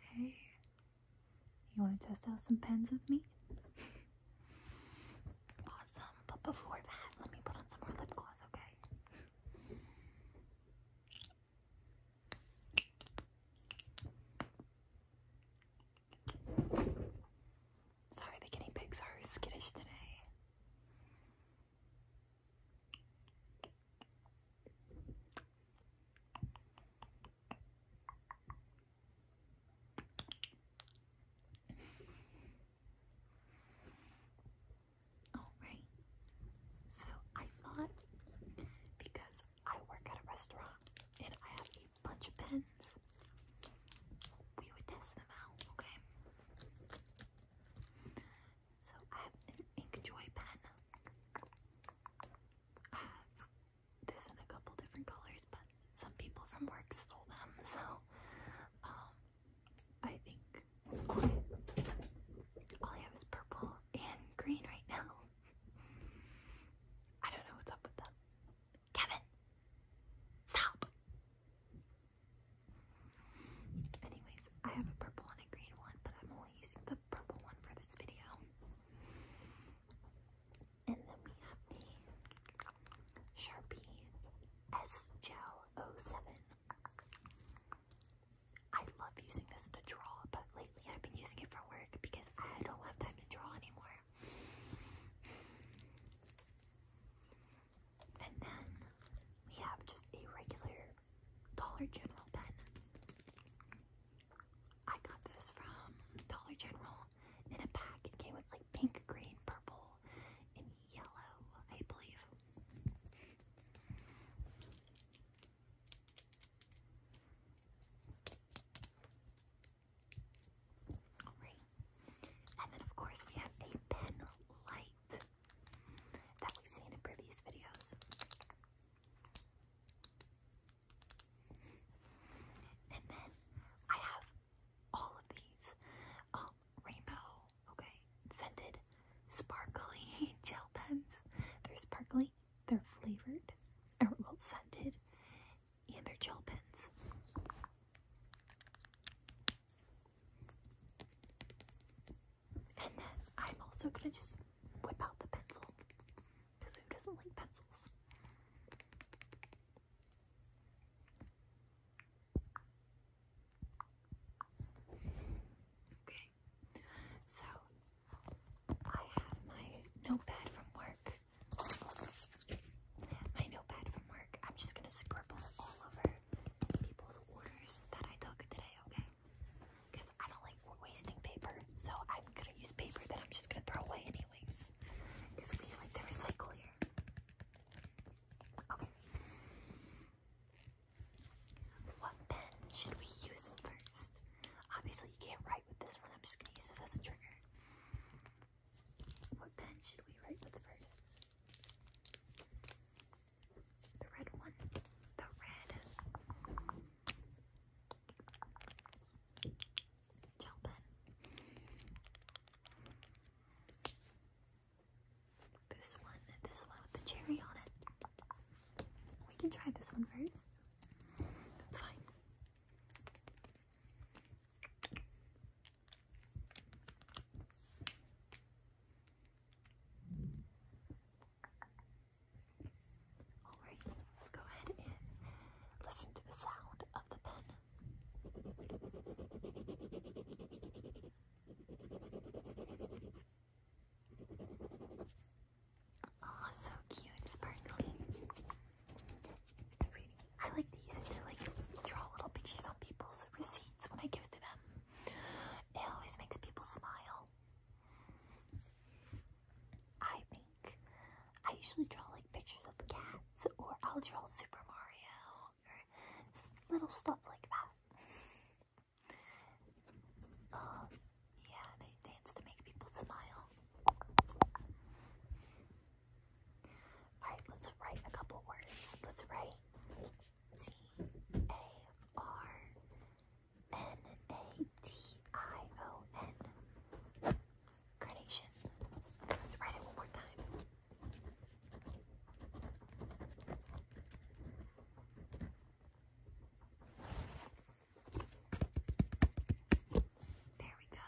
Hey, you want to test out some pens with me? Awesome, but before that, let me put on some more lip gloss, okay? Sorry, the guinea pigs are skittish today. Alright, so I thought because I work at a restaurant and I have a bunch of pens, we would test them out, okay? So I have an Inkjoy pen. I uh, have this in a couple different colors, but some people from work stole them, so um, I think all I have is purple and green right now. I don't know what's up with them. Kevin, stop! Anyways, I have a purple and a green one, but I'm only using the purple one for this video. And then we have the Sharpie S Gel 07. I love using this to draw, but lately I've been using it for work because I don't have time to draw anymore. And then we have just a regular Dollar General pen. I got this from Dollar General in a pack. It came with like pink, green, purple, and yellow, I believe. And then, of course, we have a pen light that we've seen in previous videos. And then I have all of these um, rainbow, okay, scented, sparkly gel pens. They're sparkly, they're flavored, or well, scented, and they're gel pens. And then I'm also gonna just whip out the pencil. Because who doesn't like pencils? Okay, so I have my notepad from work. My notepad from work. I'm just gonna scribble all over people's orders that I took today, okay? because I don't like wasting paper. So I'm gonna use paper that I'm just gonna throw away anyways. Because we like to recycle here. Okay. What pen should we use first? Obviously you can't write with this one. I'm just gonna use this as a trigger. What pen should we write with first? The red one. The red. This one, this one with the cherry on it. We can try this one first. That's fine. Alright, let's go ahead and listen to the sound of the pen. Oh, so cute sparkly. It's pretty. I like to use it to like draw little pictures on people's receipts when I give it to them. It always makes people smile. I think. I usually draw like pictures of cats, or I'll draw Super Mario, or little stuff like that. um, yeah, and dance to make people smile. Alright, let's write a couple words. Let's write T A R C-A-R-D-I-O-N. Carnation. Let's write it one more time. There we go.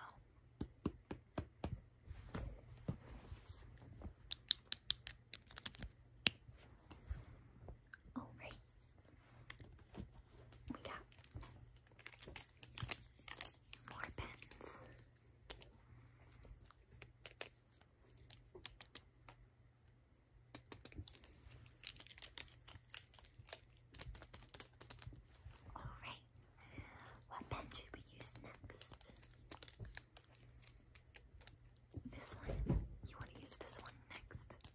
Alright. We got more pens. Alright. What pen should we use next? This one? You want to use this one next?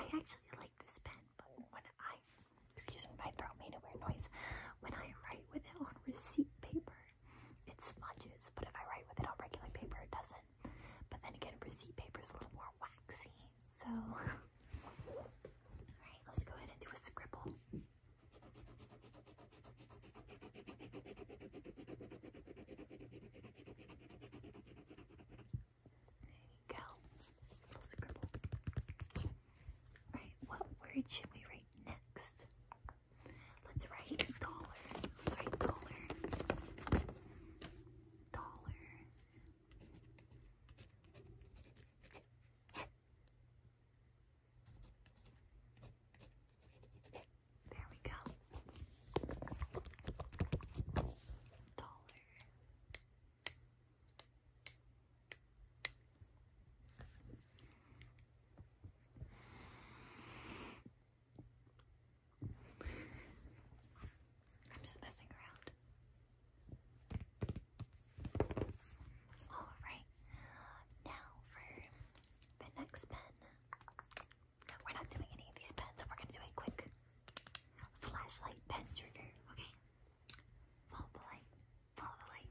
Alright, I actually like this pen, but when I excuse me, my throat made a weird noise. When I write with it on receipt paper, it smudges, but if I write with it on regular paper, it doesn't. But then again, receipt paper is a little more waxy, so. Alright, let's go ahead and do a scribble. There you go. Little scribble. All right, what word should we write next? Let's write dollar. dollar. Dollar. There we go. Dollar. I'm just messing around. Alright, now for the next pen. No, we're not doing any of these pens, we're gonna do a quick flashlight pen trigger, okay? Follow the light, follow the light,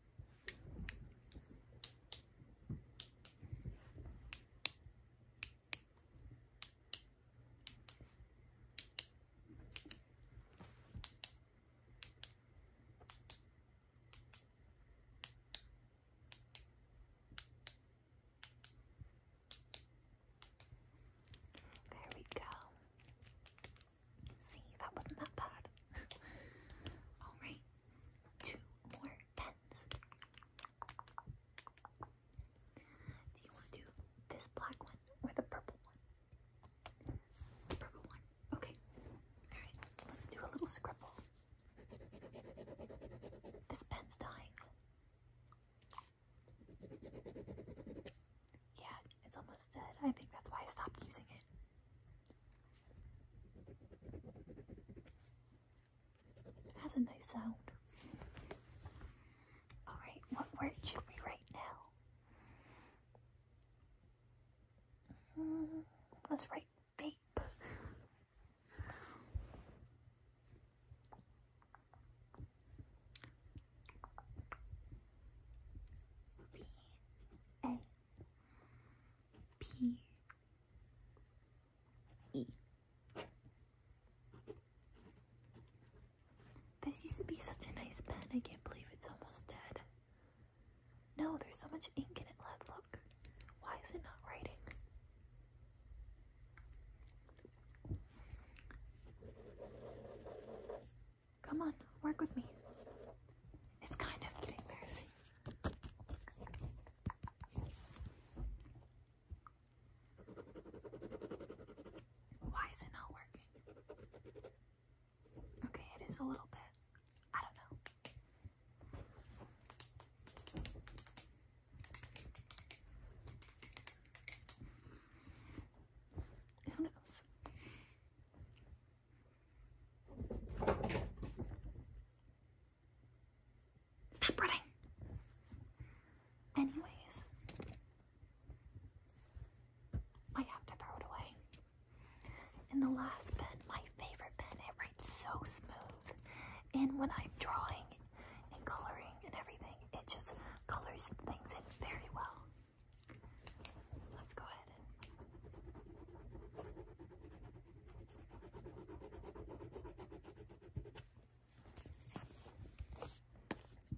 There we go. See, that wasn't that bad. Alright, two more pens. Do you want to this black one or the purple one? purple one. Okay. Alright, let's do a little scribble. This pen's dying. Yeah, it's almost dead. I think that's why I stopped using it. It has a nice sound. Alright, what word should we write now? Hmm, let's write vape. E. This used to be such a nice pen. I can't believe it's almost dead. No, there's so much ink in it left. Look. Why is it not writing? Come on, work with me. It's kind of getting messy. Why is it not working? Okay, it is a little bit. I don't know. Who knows? Stop running. Anyways, I have to throw it away. And the last pen, my favorite pen, it writes so smooth. And when I'm drawing and coloring and everything, it just colors things in very well. Let's go ahead.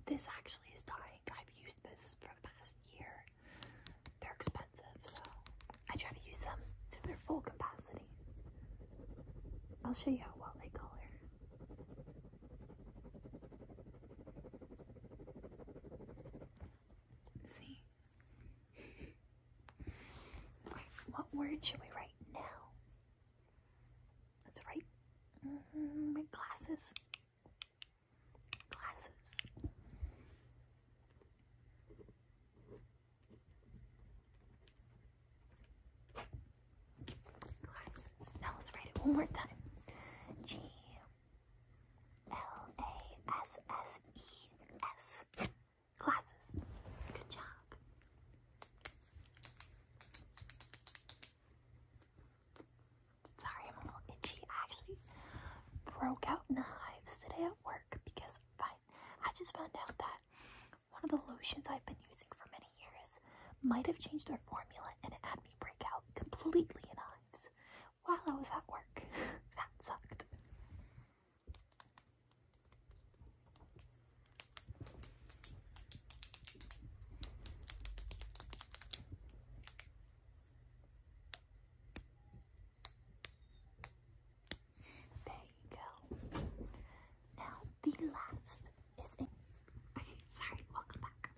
This actually is dying. I've used this for the past year. They're expensive, so I try to use them to their full capacity. I'll show you how well they color. See? what word should we write now? Let's write mm -hmm, Glasses. Glasses. Now let's write it one more time. G L A S S E S glasses. Good job. Sorry, I'm a little itchy. actually broke out knives today at work because I, I just found out that one of the lotions I've been using for many years might have changed their formula and it had me break out completely in hives while I was at work. that sucked. There you go. Now the last is in okay, sorry, welcome back.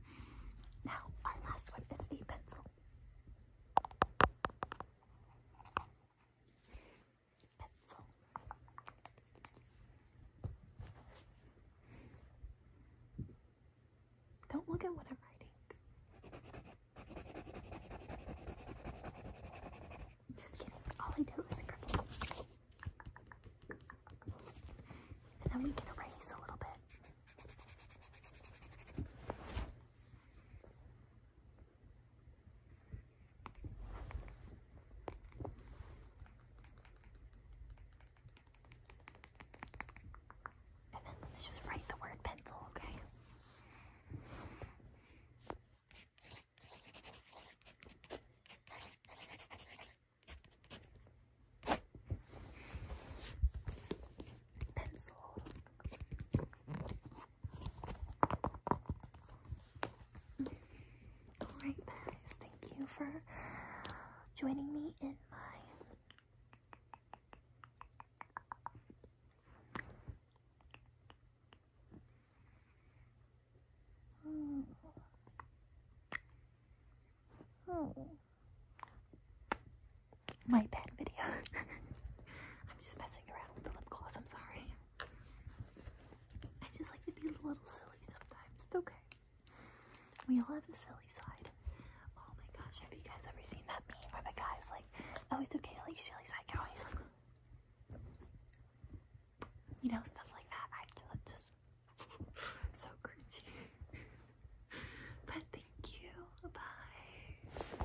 Now our last one is a pencil. Don't look at what I'm writing. Just kidding. All I did was scribble. And then we can erase a little bit. And then let's just write the word pencil, okay? Pencil. Alright guys, thank you for joining me in my my pet video. I'm just messing around with the lip gloss, I'm sorry. I just like to be a little silly sometimes. It's okay. We all have a silly side. Oh my gosh, have you guys ever seen that meme where the guy's like, oh, it's okay to let your silly side go? And he's like, you know, stuff like that. I just, so cringy. but thank you. Bye.